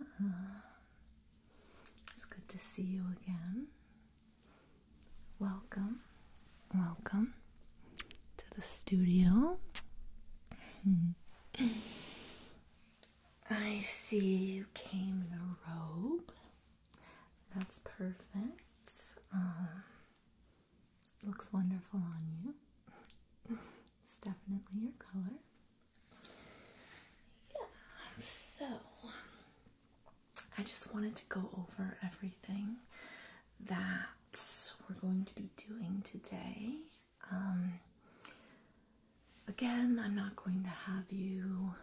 Uh-huh. it's good to see you again. Welcome, welcome to the studio. I see you came in a robe. That's perfect. Um, Looks wonderful on you. It's definitely your color. Yeah, so I just wanted to go over everything that we're going to be doing today. Um, again, I'm not going to have you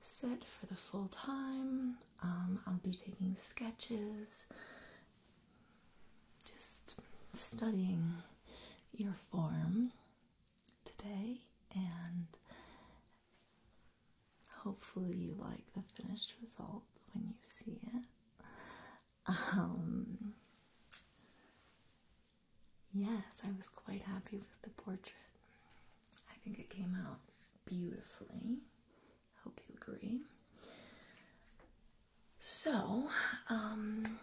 sit for the full time. Um, I'll be taking sketches just studying your form today, and hopefully, you like the finished result when you see it. Um, yes, I was quite happy with the portrait. I think it came out beautifully. Hope you agree. So, um,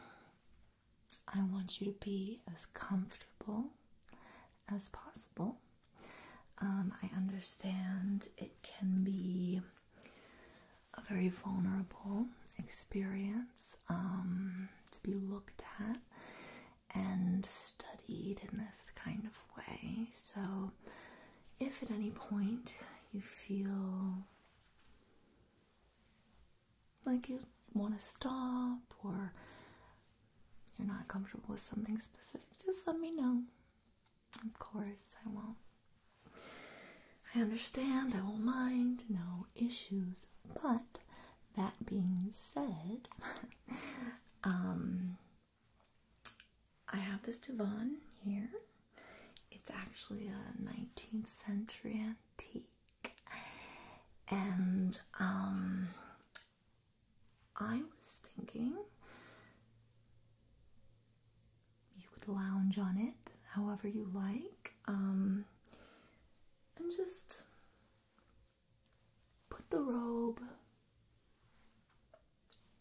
I want you to be as comfortable as possible. Um, I understand it can be a very vulnerable experience um, to be looked at and studied in this kind of way. So, if at any point you feel like you want to stop or you're not comfortable with something specific, just let me know. Of course, I won't. I understand, I won't mind, no issues. But that being said, um, I have this divan here. It's actually a 19th century antique, and um, I was thinking you could lounge on it however you like, um, and just put the robe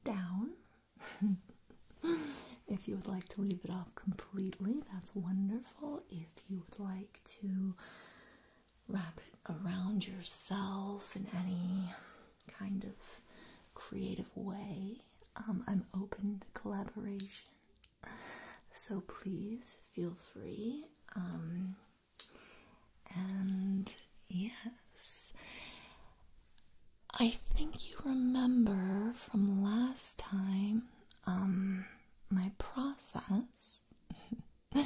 down. if you would like to leave it off completely, that's wonderful. If you would like to wrap it around yourself in any kind of creative way, um, I'm open to collaboration. So please feel free. Um, and yes, I think you remember from last time, um, my process.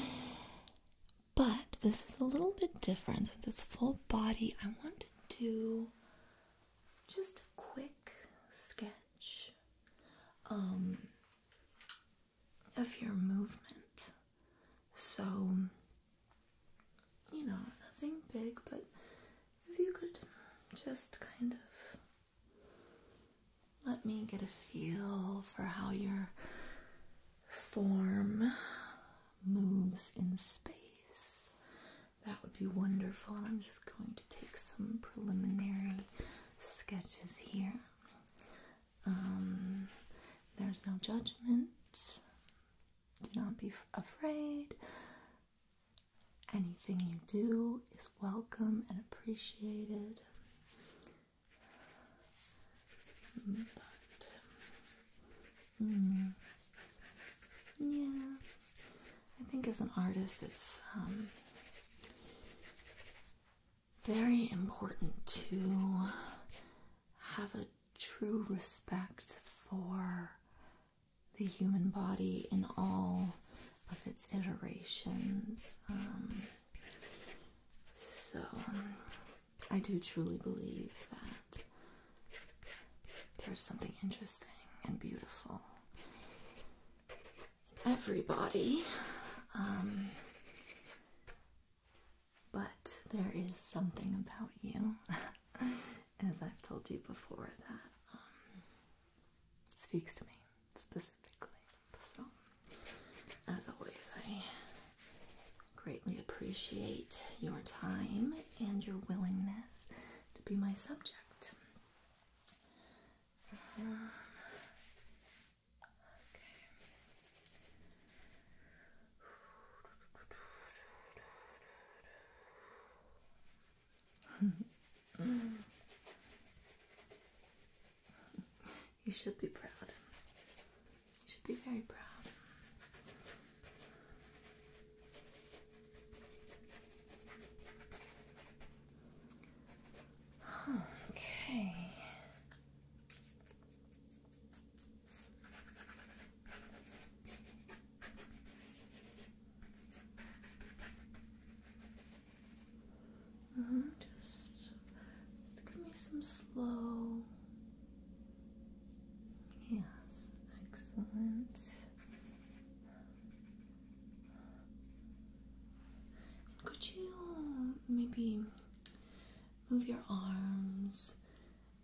but this is a little bit different. Since it's full body, I want to do just a quick sketch um, of your movement. So you know, nothing big, but if you could just kind of let me get a feel for how your form moves in space, that would be wonderful. And I'm just going to take some preliminary sketches here. Um, there's no judgment. Do not be afraid. Anything you do is welcome and appreciated. Mm, but, mm, yeah, I think as an artist, it's um, very important to have a true respect for the human body in all of its iterations. Um, so, I do truly believe that there's something interesting and beautiful in everybody. Um, but there is something about you. as I've told you before, that um, speaks to me specifically. So, as always, I greatly appreciate your time and your willingness to be my subject. Um, okay you should be proud. You should be very proud. Okay. Uh-huh, just, just give me some slow. Yes, excellent. could you um, maybe move your arms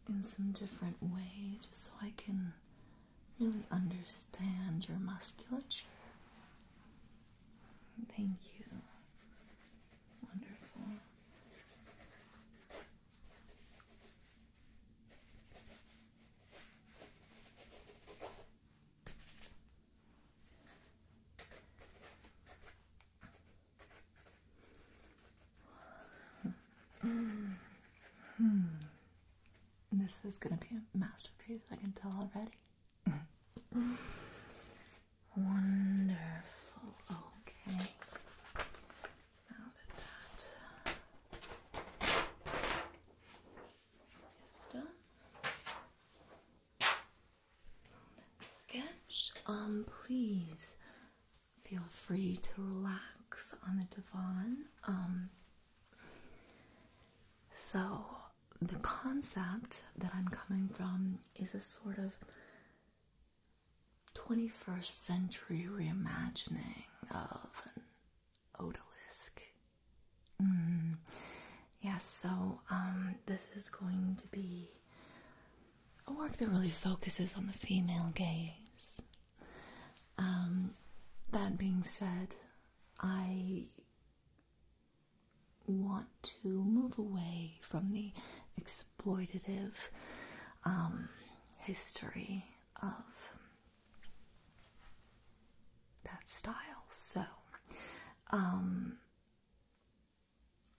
in some different ways so I can really understand your musculature. Thank you. Wonderful. Hmm. This is gonna be a masterpiece, I can tell already. Wonderful. Okay. Now that that is done, let sketch. Um, please feel free to relax on the divan. Um, so, the concept that I'm coming from is a sort of 21st century reimagining of an odalisque. Yes, mm-hmm. yeah, so um, this is going to be a work that really focuses on the female gaze. Um, that being said, I want to move away from the exploitative um, history of that style. So, um,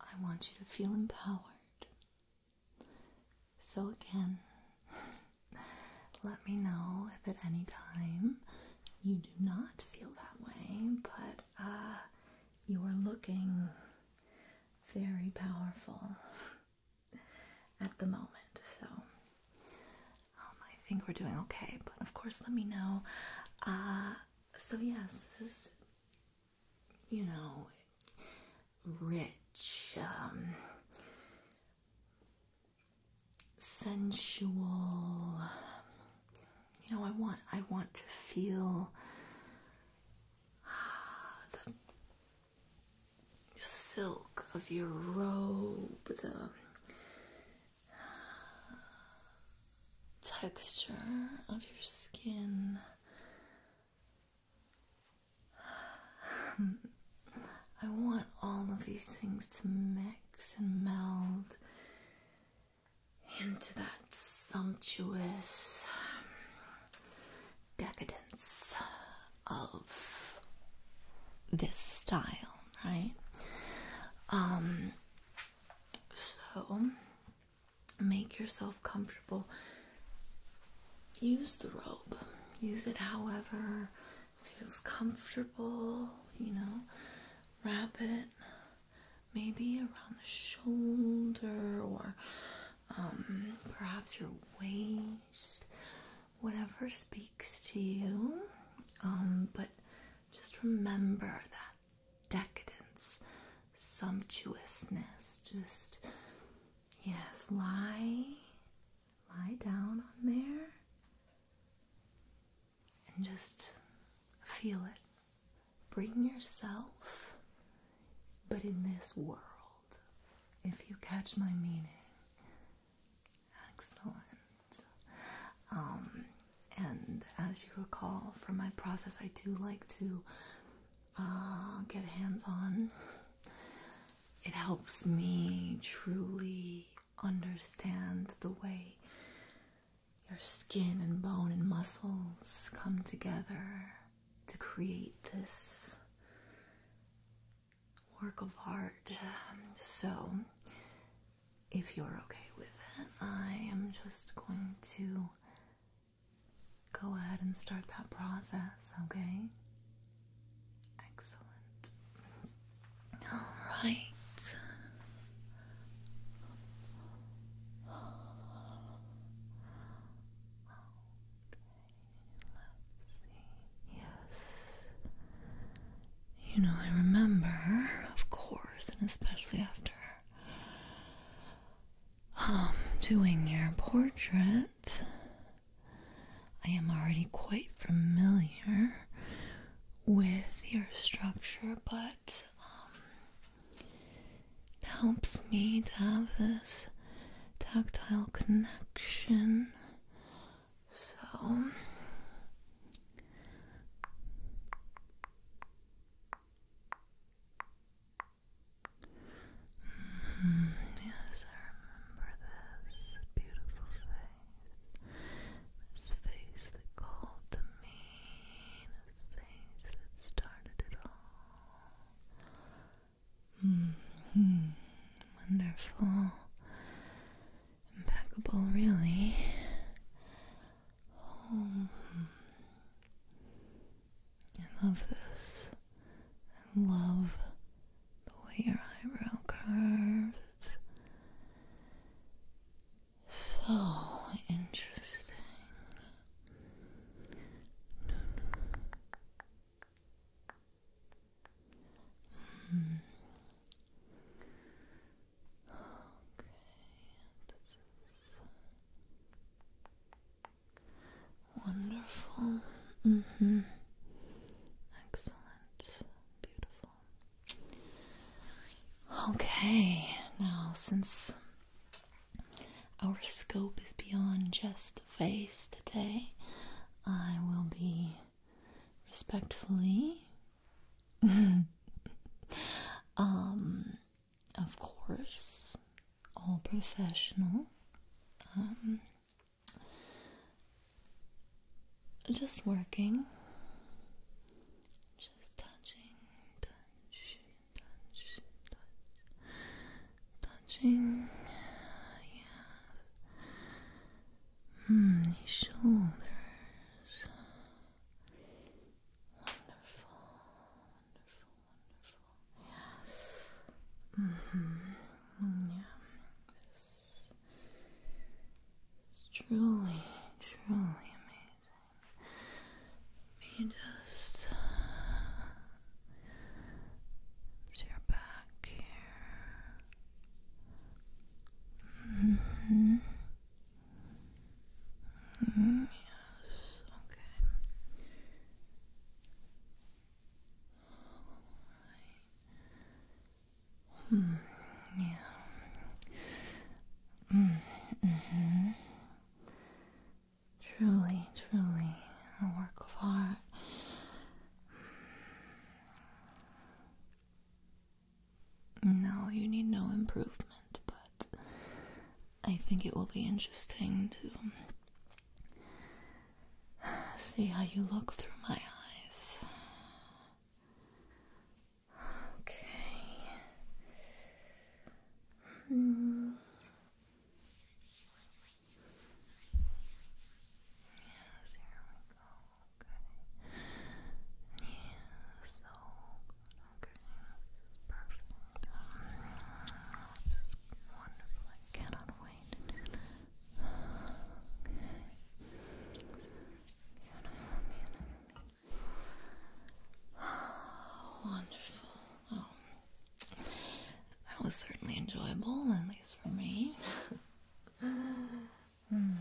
I want you to feel empowered so, again, let me know if at any time you do not feel that way, but uh, you are looking very powerful at the moment. So, um, I think we're doing okay, but of course, let me know. Uh, so, yes, this is, you know, rich, um, sensual. You know, I want I want to feel ah, the silk of your robe, the ah, texture of your skin. I want all of these things to mix and meld into that sumptuous decadence of this style, right? Um, so make yourself comfortable use the robe. Use it however feels comfortable, you know. Wrap it maybe around the shoulder or um, perhaps your waist, whatever speaks to you. Um, but just remember that decadence, sumptuousness, just Yes, lie, lie down on there and just feel it. Bring yourself, but in this world, if you catch my meaning. Excellent. Um, and as you recall from my process, I do like to uh, get hands on. It helps me truly understand the way your skin and bone and muscles come together to create this work of art. So, if you're okay with it, I am just going to go ahead and start that process, okay? Excellent. All right. Okay, let's see. Yes. You know, I remember, of course, and especially after um doing your portrait I am already quite familiar with your structure, but um, it helps me to have this tactile connection. So. Mm-hmm. yes, I remember this beautiful face. This face that called to me. This face that started it all. Mm-hmm. Wonderful. Impeccable, really. Oh. Hmm. I love this. I love the way your eyebrow curves. so interesting. Hmm. Okay, Wonderful. Mm hmm. Excellent. Beautiful. Okay, now since our scope is beyond just the face today, I will be respectfully, um, of course, all professional. Um, just working, just touching, touch, touch, touching, yeah, your hmm, shoulders, wonderful beautiful. Mm-hmm. Yeah, this is truly, truly amazing. me just uh, your back here. hmm. -hmm. Yes. Okay. Hmm. Yeah. Mm. Mm-hmm. Truly, truly a work of art. No, you need no improvement, but I think it will be interesting to See how you look through my eyes. Okay. Yes, here we go. Okay. Yeah, so Okay, this is perfect. This is wonderful. I cannot wait wonderful. Oh, that was certainly enjoyable, at least for me. Hmm.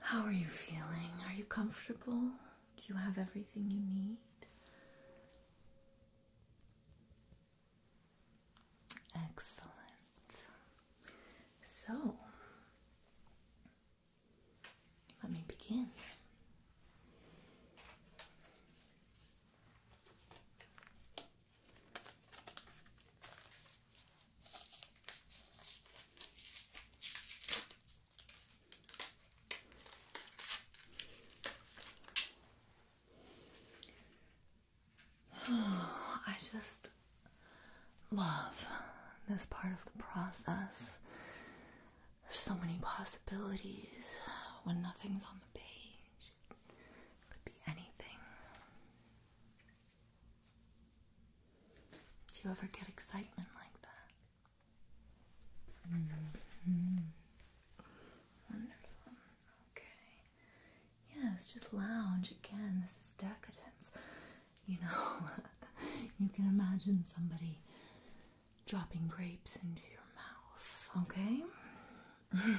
How are you feeling? Are you comfortable? Do you have everything you need? Excellent. So, let me begin. I just love this part of the process. There's so many possibilities when nothing's on the page. could be anything. Do you ever get excitement like that? Mm-hmm. Wonderful. Okay. Yes, just lounge again. This is decadence. You know, you can imagine somebody dropping grapes into your mouth. Okay.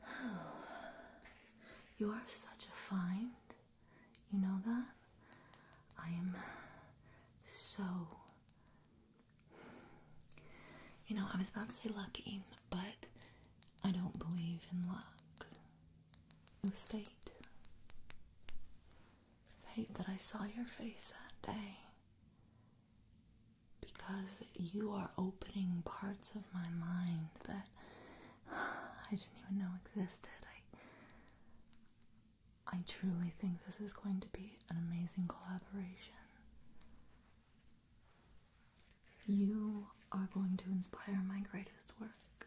you are such a find. You know that? I am so. You know, I was about to say lucky, but I don't believe in luck. It was fate. Fate that I saw your face that day because you are opening parts of my mind that I didn't even know existed. I truly think this is going to be an amazing collaboration. You are going to inspire my greatest work.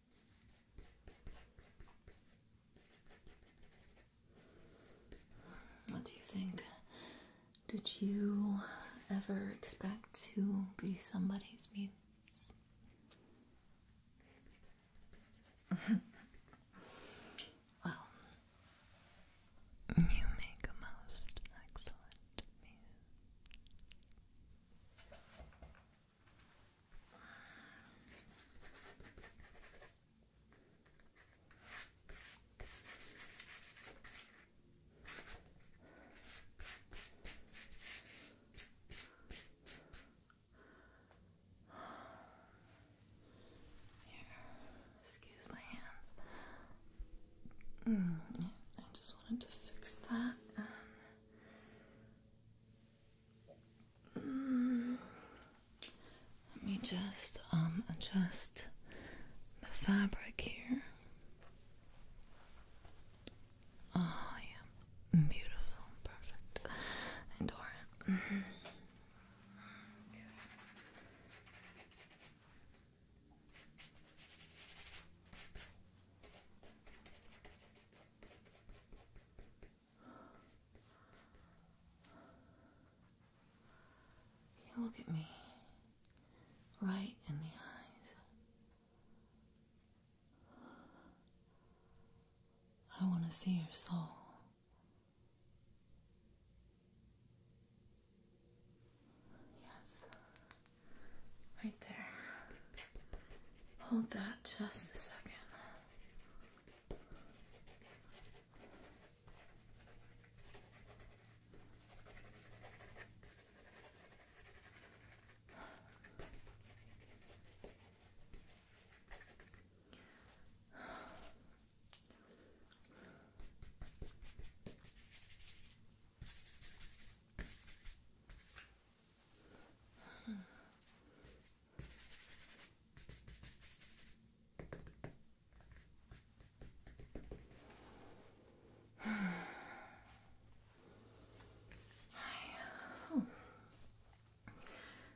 What do you think? Did you ever expect to be somebody's muse? well, you make a most excellent muse excuse my hands. Mm, I just wanted to fix that um, let me just um, adjust the fabric here. Oh yeah, beautiful, perfect. And Doran look at me right in the eyes. I want to see your soul. Yes, right there. Hold that just a second.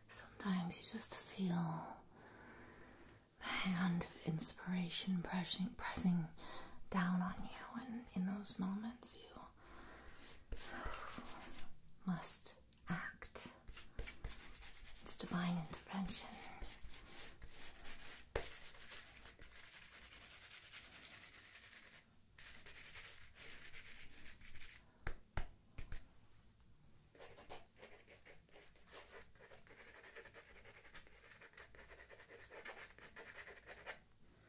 Sometimes you just feel the hand of inspiration pressing, down on you, and in those moments, you must act. It's divine intervention.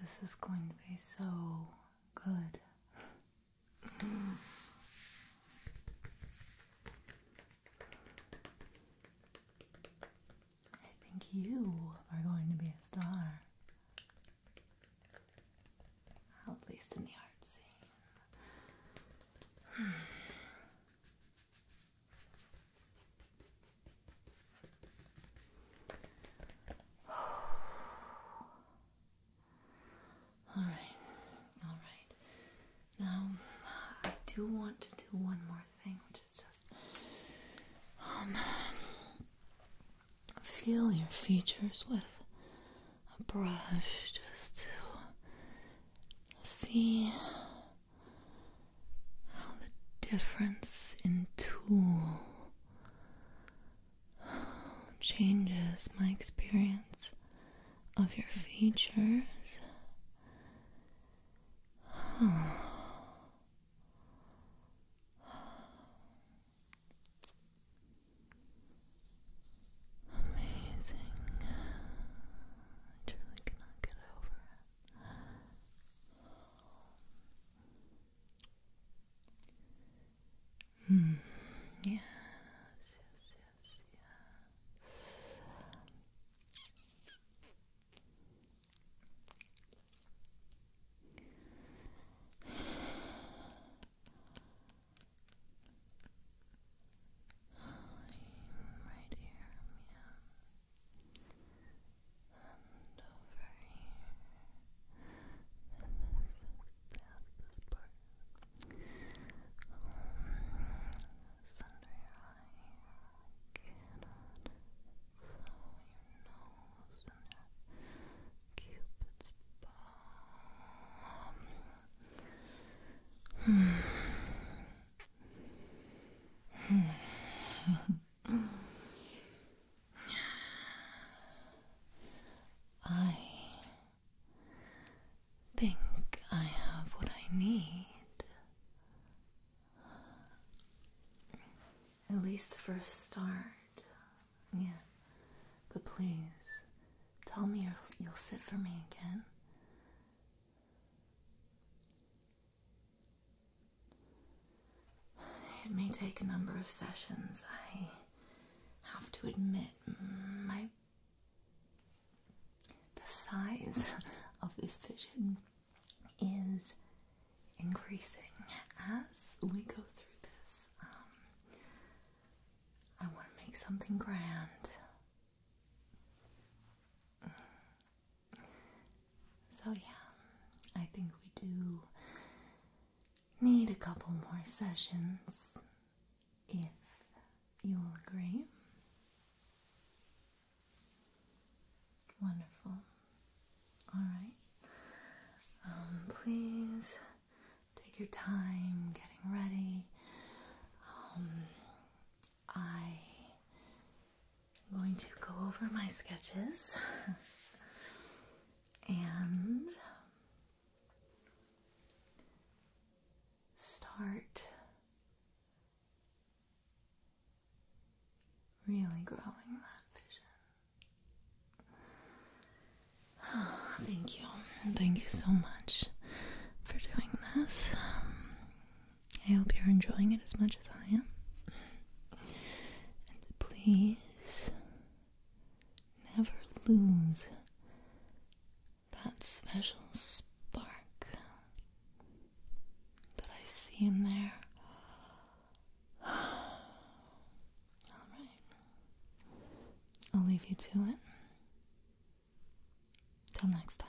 This is going to be so good. I think you are going to be a star. at least in the art scene. Hmm. all right, all right. Now, I do want to do one more thing, which is just um, feel your features with a brush just to see how the difference in tool changes my experience of your features. Amazing. I truly cannot get over it. Mm. Yes, yes, yes, right here, yeah. And over here. This is that's part. this under your eye here. Cannot. So your nose and your cupid's bow. Hmm. Hmm. I think I have what I need. At least for a start. Yeah. But please, tell me you'll sit for me again. It may take a number of sessions. I have to admit, my the size of this vision is increasing as we go through this. Um, I want to make something grand. So, yeah, I think we do need a couple more sessions if you will agree. Wonderful. All right. Um, please take your time getting ready. Um, I am going to go over my sketches and start really growing that vision. thank you. Thank you so much for doing this. I hope you're enjoying it as much as I am. And please never lose that special spark that I see in there. Alright, I'll leave you to it. Till next time.